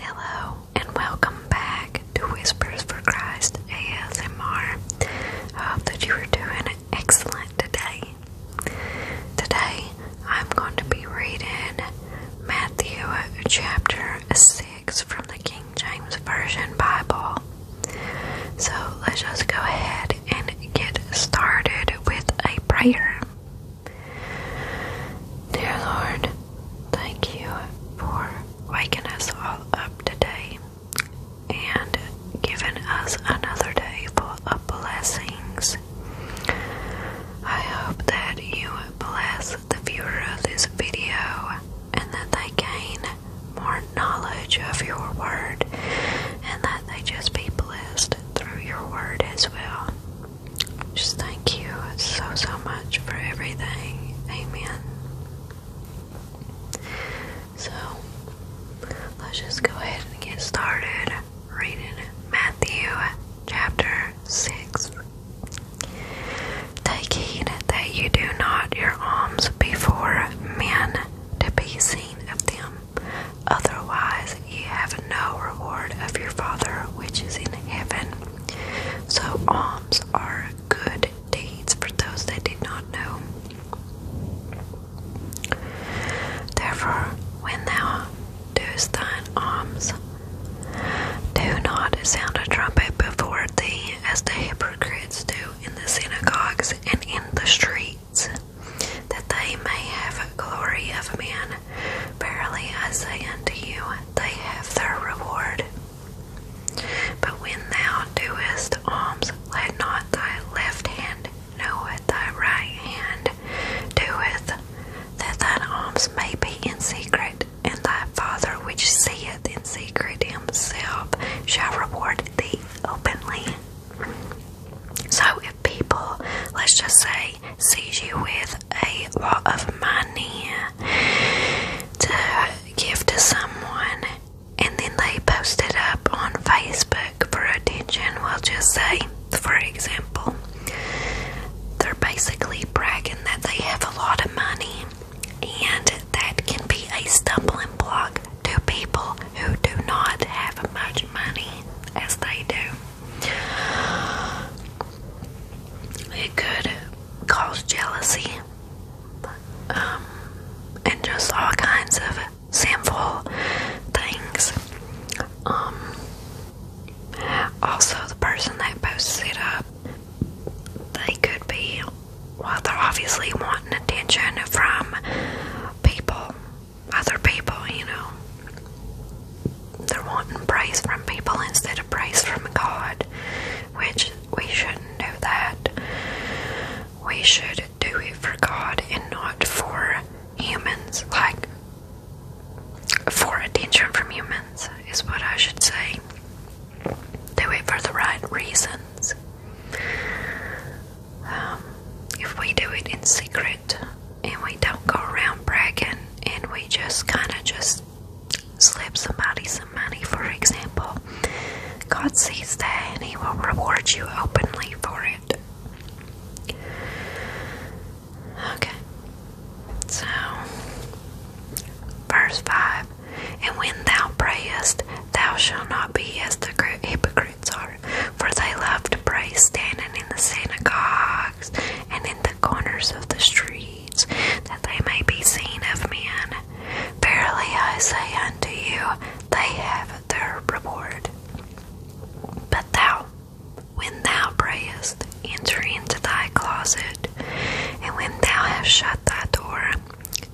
Hello, and welcome back to Whispers for Christ ASMR. I hope that you are doing excellent today. Today, I'm going to be reading Matthew chapter 6 from the King James Version Bible. So, let's just go ahead and get started with a prayer. Dear Lord, thank you for waking us all up today and giving us another day full of blessings. I hope that you bless the viewer of this video and that they gain more knowledge of your word and that they just be blessed through your word as well. Just thank you so, so much for everything. Amen. So, let's just go ahead and get started reading Matthew chapter 6. Take heed that you do not your alms before men to be seen of them, otherwise because ye have no reward of your Father which is in heaven. So alms are good deeds for those that did not know. Therefore, when thou doest thine alms, do not sound a trumpet before thee, as the hypocrites do in the synagogues and in the streets, that they may have glory of men. Verily I say unto you, they have their reward. But when thou doest alms, let not thy left hand know what thy right hand doeth, that thine alms may be in secret, and thy Father which seeth in secret himself shall reward thee openly. So if people, let's just say, sees you with a lot of money to give to someone and then they post it up on Facebook for attention, Well, just say, for example, they're basically bragging that they have a lot of money, and that can be a stumbling block to people who do not have much money as they do. It could cause jealousy um, and just all kinds of sinful things. Um, also, the person that posts it up, they could be, well, they're obviously wanting attention from people, other people, you know they're wanting praise from people instead of praise from God, which we shouldn't do that. We should do it for God and not for humans, like for attention from humans, is what I should say. Do it for the right reasons. Um, if we do it in secret, and we don't go around bragging and we just kind of just slip somebody some money, for example, God sees that and He will reward you openly for it. Okay, so verse 5 And when thou prayest, thou shalt not be as the hypocrites are, for they love to pray standing in the synagogues and in the corners of the streets, that they may be seen of men. Verily I say unto you, they have their reward. But thou, when thou prayest, enter into thy closet, and when thou hast shut thy door,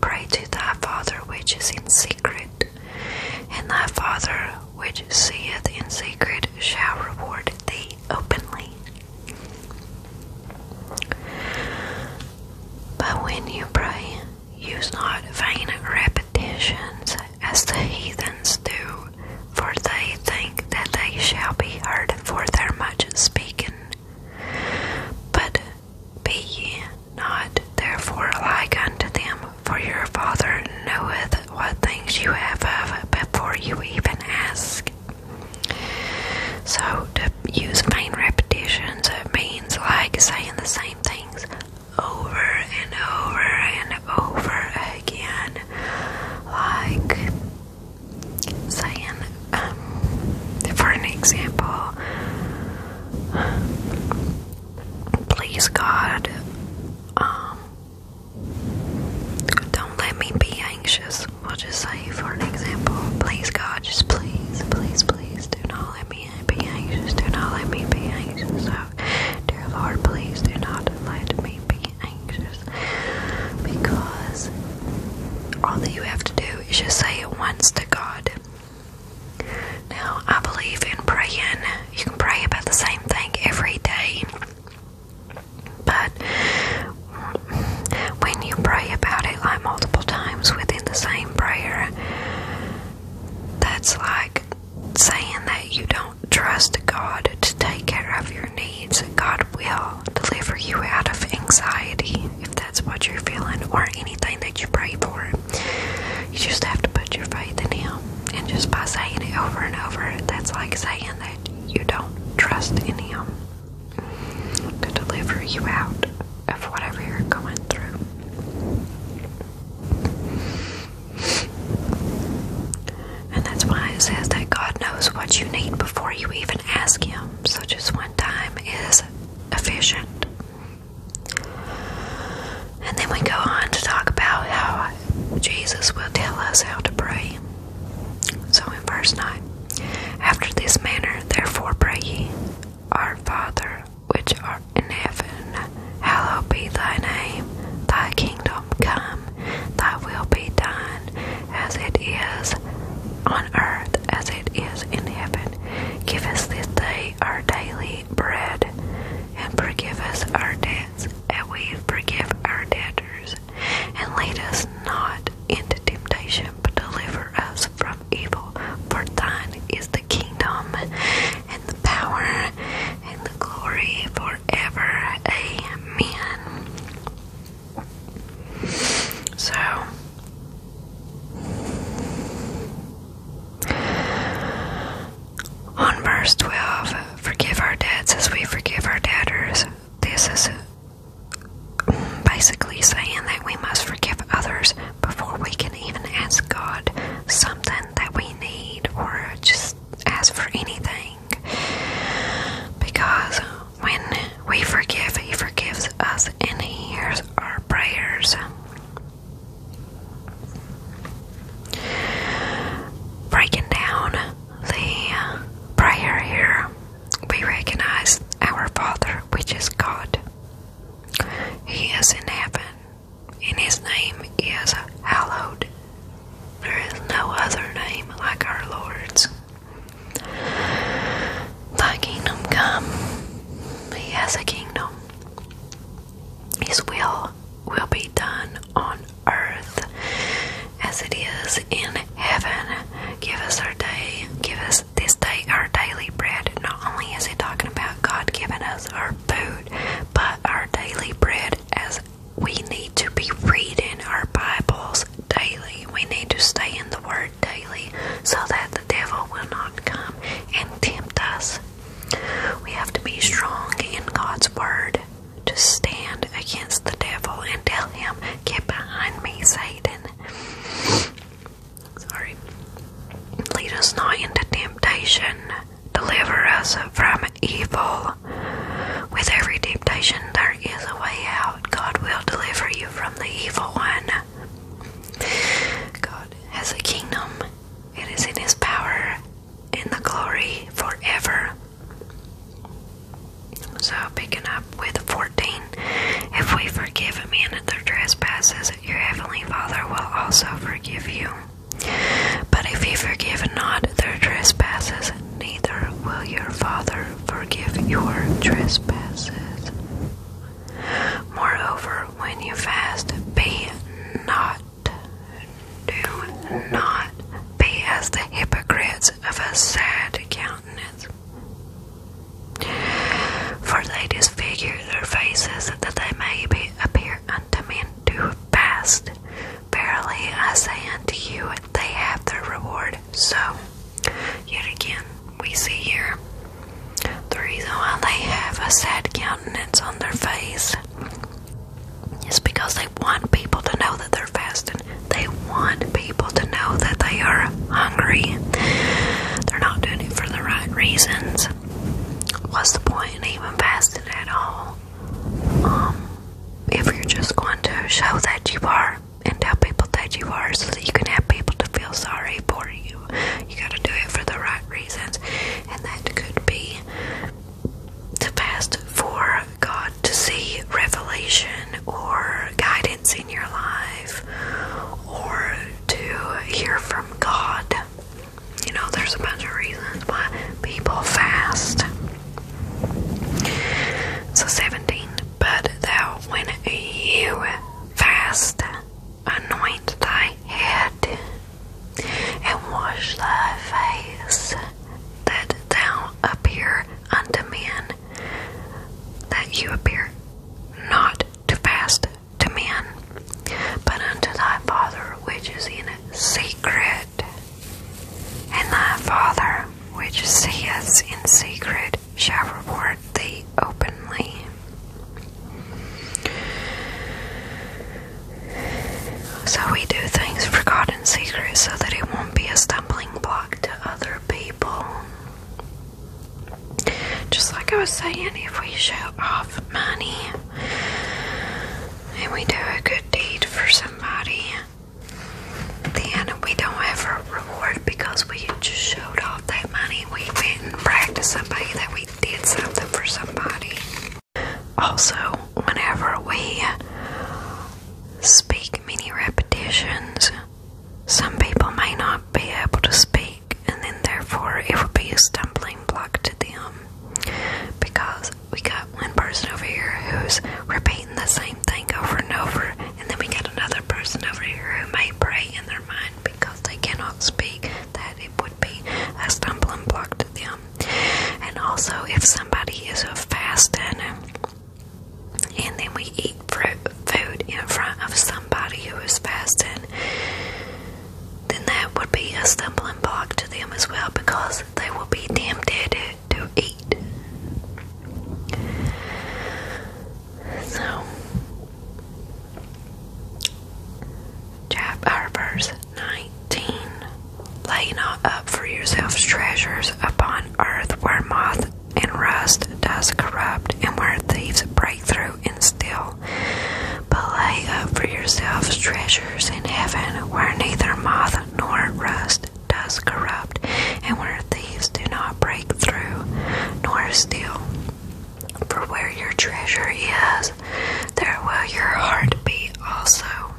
pray to thy Father which is in secret, and thy Father which seeth in secret shall reward thee openly. But when you pray, use not vain repetitions as the heathens do, for they think that they shall be heard for their much speaking. But be ye not therefore like unto them, for your Father knoweth what things you have of before you even ask. So, to use vain repetitions, it means like saying the same things over and over and over again. Like saying, um, for an example, please God, um, don't let me be anxious. We'll just say, for an example, please, God, just please, please, please do not let me be anxious. Do not let me be anxious. So, dear Lord, please do not let me be anxious. Because all that you have to do is just say it once to God. Now, I believe in praying. You can pray about the same thing every day. But when you pray about it like multiple times within the same prayer, that's like saying that you don't trust God to take care of your needs. God will deliver you out of anxiety if that's what you're feeling or anything that you pray for. You just have to put your faith in Him. And just by saying it over and over, that's like saying that you don't trust in Him to deliver you out of whatever you're going through. And that's why it says that God knows what you need before you even ask Him. So just one time is efficient. And then we go on to talk about how Jesus will tell us how to pray. So in verse 9, after this manner, therefore pray ye, Our Father, which art in heaven, hallowed be thy name, thy kingdom come, thy will be done, as it is on earth as it is in heaven. Give us this day our daily bread, and forgive us our debts and we forgive our debtors, and lead us not into temptation, but deliver us from evil. For thine is the kingdom, and the power, and the glory forever. Amen. So, on verse 12, forgive our debts as we forgive our debtors. This is basically saying that we must forgive others before we can even ask God something that we need or just ask for anything. Because when we forgive, He forgives us and He hears our prayers. Breaking down the prayer here, we recognize our Father, which is God. He is in heaven, and His name is hallowed. There is no other name like our Lord's. The kingdom come. He has a kingdom. His will will be done on earth as it is in heaven. Give us our day. Give us this day our daily bread. Not only is he talking about God giving us our food, but our daily bread as we need to be reading our Bibles daily. We need to stay in the Word daily so that the devil will not come and tempt us. We have to be strong in God's Word to stand against the devil and tell him, Get behind me, Satan. Sorry. Lead us not into temptation. Deliver us from evil. With every temptation, there is a way out. God will deliver you from the evil one. God has a kingdom, it is in His power in the glory forever. So, picking up with 14, if we forgive a man their trespasses, your heavenly Father will also forgive you. But if you forgive not their trespasses, neither will your Father forgive your trespasses. Moreover, when you fast, be not do not be as the hypocrites of a sad countenance. For they disfigure their faces that they may be appear unto men to fast. Verily I say unto you, they have their reward. So, yet again, we see here the reason why they have a sad countenance on their face it's because they want people to know that they're fasting. They want people to know that they are hungry. They're not doing it for the right reasons. What's the point in even fasting at all? Um, if you're just going to show that you are and tell people that you are so that you can have people to feel sorry for you. You gotta do it for the right reasons, and that could be to fast for God to see revelation or guidance in your life or to hear from God. You know, there's a bunch of reasons why people fast. So, 17. But thou, when you fast, anoint thy head and wash thy face, that thou appear unto men, that you appear not too fast to men, but unto thy Father which is in secret. And thy Father which seeth in secret shall reward thee openly. So we do things forgotten secret so that it won't be a stumbling block to other people. Just like I was saying, if we show off money and we do a good deed for somebody, then we don't have a reward because we just showed off that money. We went and bragged to somebody that we did something for somebody. Also, whenever we speak many repetitions, some people may not be able to speak, and then therefore it would be a stumbling block to them because we got one person over here who's repeating the same thing over and over, and then we got another person over here who may pray in their mind because they cannot speak that it be a stumbling block to them. And also, if somebody is fasting and then we eat food in front of somebody who is fasting, then that would be a stumbling block to them as well because they will be tempted to eat. So, chapter verse 19. Lay not up for yourselves treasures upon earth where moth and rust does corrupt, and where thieves break through and steal. But lay up for yourselves treasures in heaven where neither moth nor rust does corrupt, and where thieves do not break through nor steal. For where your treasure is, there will your heart be also.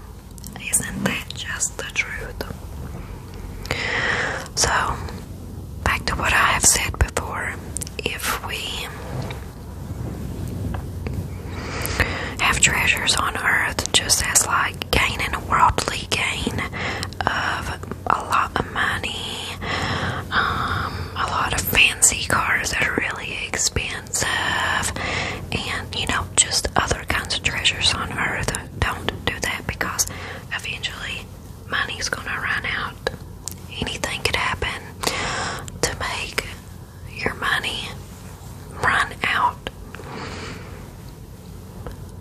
Isn't that just the truth? So, back to what I have said before if we have treasures on earth, just as like gaining a worldly gain of a lot of money, um, a lot of fancy cars that are really expensive and you know just other kinds of treasures on earth don't do that because eventually money's gonna run out anything could happen to make your money run out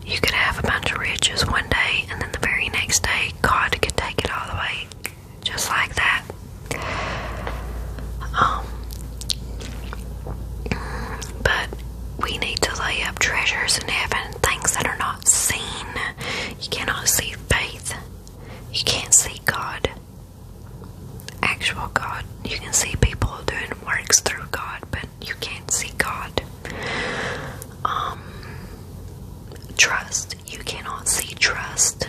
you could have a bunch of riches one day and then the very next day god could take it all away just like that um, but we need to lay up treasures in heaven, things that are not seen. You cannot see faith. You can't see God, actual God. You can see people doing works through God, but you can't see God. Um, trust. You cannot see trust.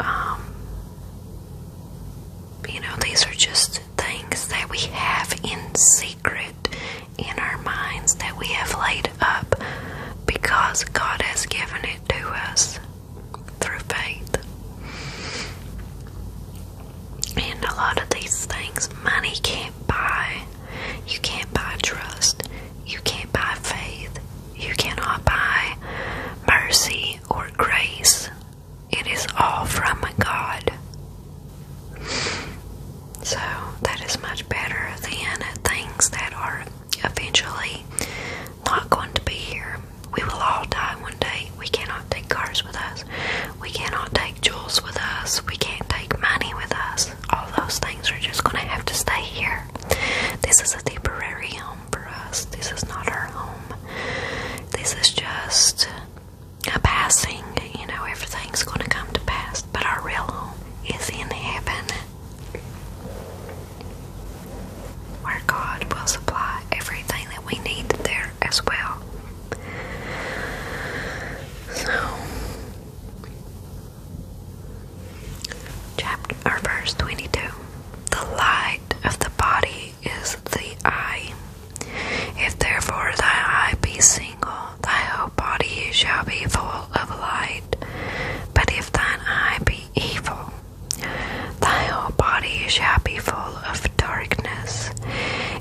Um, you know, these are just things that we have in secret in our minds that we have laid up because God has given it to us through faith. And a lot of these things money can't buy. You can't buy trust. You can't buy faith. You cannot buy mercy or grace. It is all from God. So that is much better than things that are eventually not going to be here. We will all die one day. We cannot take cars with us. We cannot take jewels with us. We can't take money with us. All those things are just going to have to stay here. This is a temporary home for us. This is not our home. This is just a passing, you know, everything's going to come to pass, but our real home is in heaven where God will supply everything that we need there as well. So, chapter or verse 22 the light of the body is the eye. If therefore thy eye be single, thy whole body shall be full of light. But if thine eye be evil, thy whole body shall be full of darkness.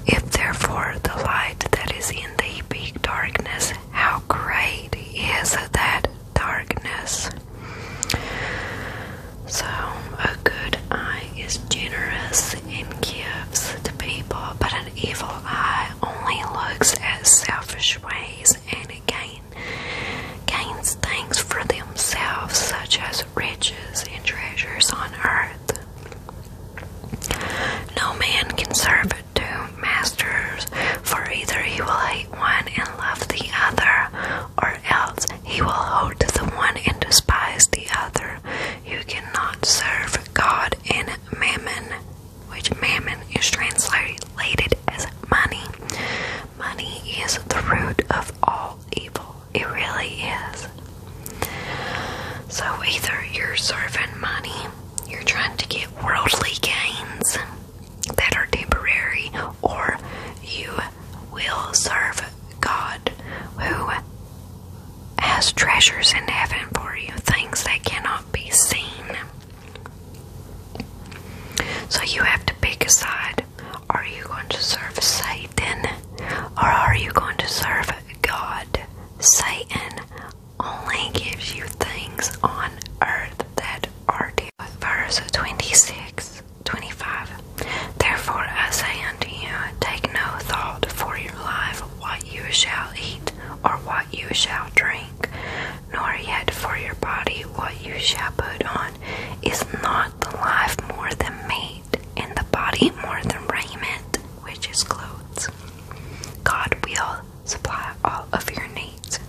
If therefore the light that is in thee be darkness, how great is that darkness? So, a good eye is generous and gives to people, but an evil eye only looks at selfish ways and gain, gains things for themselves, such as riches and treasures on earth. No man can serve two masters, for either he will hate one and love the other, or else he will hold the one and despise the other. You cannot serve God and mammon, which mammon is translated as money. Money is the root of all evil. It really is. So either you're serving money, you're trying to get worldly gains, that are temporary, or you will serve God who has treasures in heaven for you, things that cannot be seen. So you have to pick a side. Are you going to serve Satan or are you going to serve God? Satan only gives you things on earth that are deep. 26 verse 25. Therefore I say unto you, take no thought for your life, what you shall eat, or what you shall drink, nor yet for your body, what you shall put on. Is not the life more than meat, and the body more than raiment, which is clothes? God will supply all of your needs.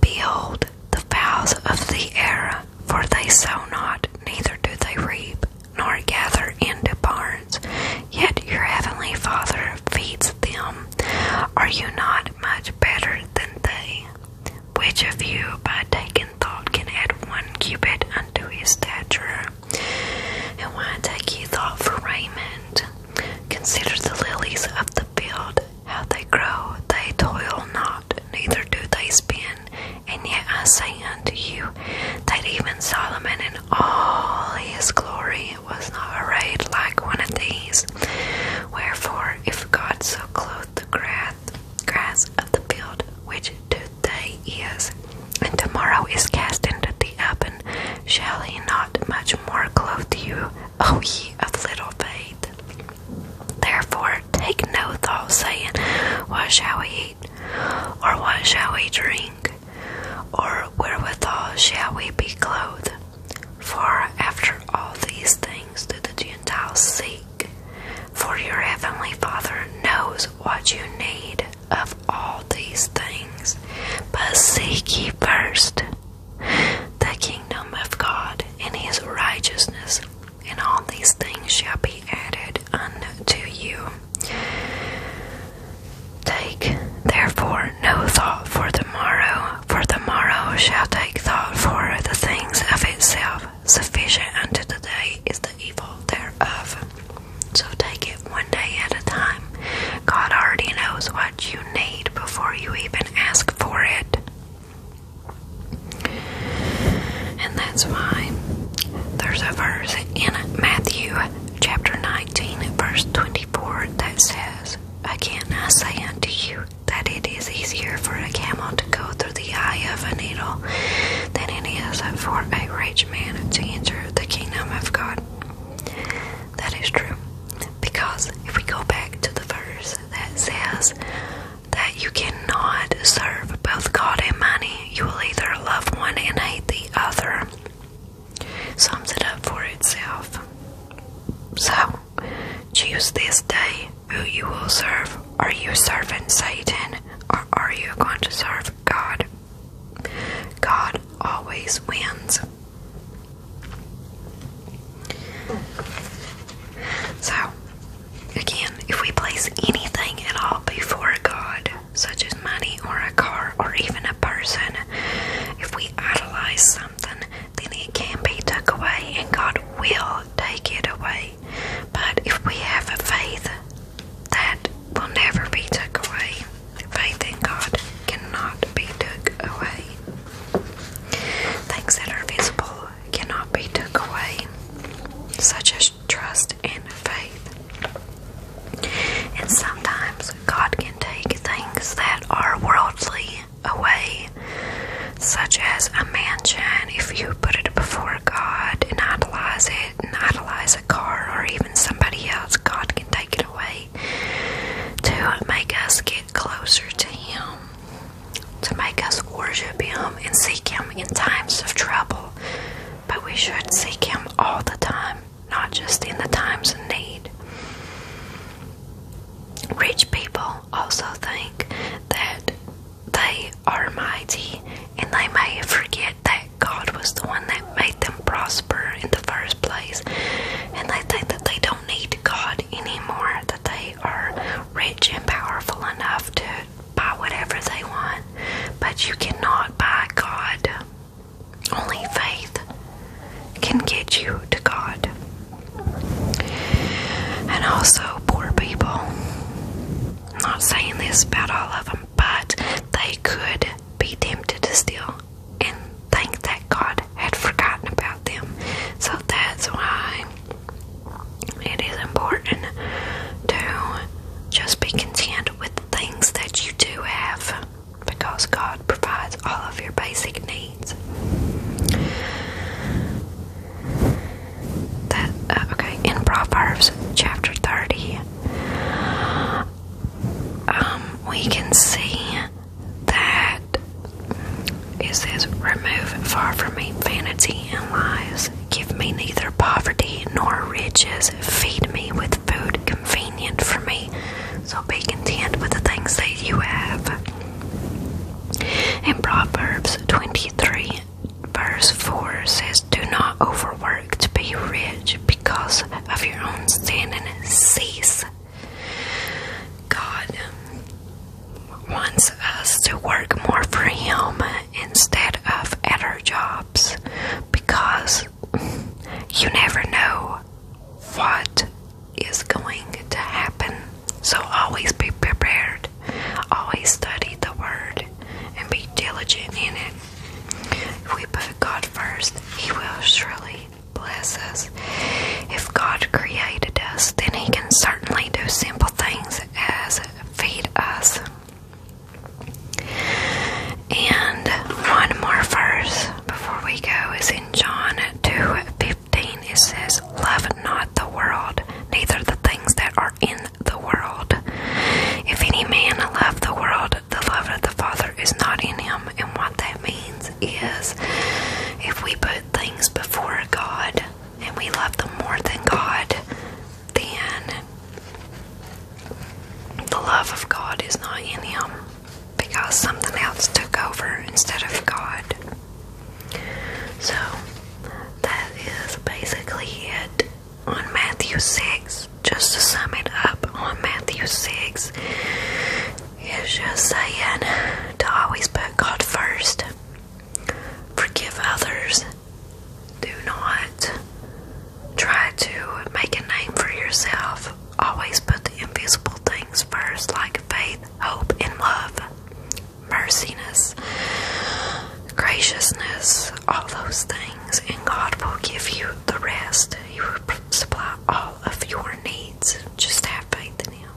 Behold, the fowls of the air, for they sow not, neither do they reap, nor gather into barns, yet your heavenly Father feeds them. Are you not much better than they? Which of you, by taking thought, can add one cubit unto his stature? And why take ye thought for raiment? Consider the lilies of the field, how they grow, they toil not, neither do they spin. And yet I say unto you that even Solomon in all his glory was not arrayed like one of these. Wherefore, if God so clothe the grass, grass of the field, which today is, and tomorrow is cast into the oven, shall he not much more clothe you, O ye of little faith? Therefore, take no thought, saying, What shall we eat? Or what shall we drink? Or wherewithal shall we be clothed? For after all these things do the Gentiles seek. For your heavenly Father knows what you need of all these things. But seek ye first the kingdom of God and his righteousness, and all these things shall be added unto you. Take therefore no thought for the morrow, for the morrow shall take thought for the things of itself. Sufficient unto the day is the evil thereof. So take it one day at a time. God already knows what you need before you even ask for it. And that's why there's a verse in Matthew chapter 19, verse 24, that says, Again I say unto you, that it is easier for a camel to go through the eye of a needle than it is for a rich man to enter the kingdom of God. That is true. Because if we go back to the verse that says that you cannot serve both God and money. You will either love one and hate the other. Sums it up for itself. So, choose this day who you will serve. Are you serving Satan or are you going to serve God? God always wins. So, again, if we place anything at all before God, such as money or a car or even a person, if we idolize something, then it can be took away and God will take it away. But if we have a faith, that will never be took away. Faith in God cannot be took away. Things that are visible cannot be took away, such as trust and faith. And sometimes God can take things that are worldly away, such as a mansion, if you put it before God and idolize it, and idolize a car or even somebody else, God can take it away to make us get closer to Him to make us worship Him and seek Him in times of trouble. But we should seek Him all the time, not just in the times of need. Rich people also think that they are mighty and they may forget that God was the one that made them prosper in the first place, and they think that they don't need God anymore they are rich and powerful enough to buy whatever they want, but you cannot buy God. Only faith can get you to God. And also, poor people. I'm not saying this about all of them, but they could be tempted to steal, and think that God had forgotten about them. So that's why it is important to just be content with the things that you do have because God provides all of your basic needs. That uh, okay, in Proverbs chapter 30, um, we can see that is, it Remove far from me vanity and lies. Give me neither poverty nor riches. Feed me with food convenient for me. So be content with the things that you have. In Proverbs 23, verse 4 says, Do not overwork to be rich because of your own standing. cease God wants us to work more for Him instead of at our jobs because you never know what is going to happen. So always be prepared, always study the Word, and be diligent in it. If we put God first, He will surely bless us. If God created us, then He can certainly do simple things as feed us. And one more verse before we go is in John 2:15. It says, Love not the world, neither the things that are in the world. If any man love the world, the love of the Father is not in him. And what that means is if we put things before God and we love them more than God, then the love of God is not in him because something else took over instead of God. So that is basically it on Matthew 6. Just to sum it up on Matthew 6, Here's just saying to always put God first. Forgive others. Do not try to make a name for yourself. Always put the invisible things first, like faith, hope, and love, merciness, graciousness, all those things, and God will give you the rest. He will supply all of your needs. Just have faith in Him.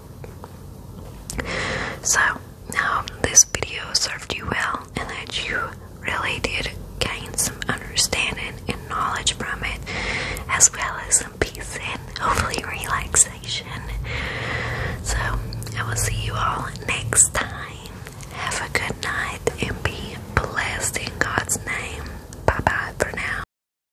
So, now this video served you well and that you really did gain some understanding and knowledge from it, as well as some peace and hopefully relaxation. So, I will see you all next time. Have a good night and be blessed in God's name. Bye bye for now.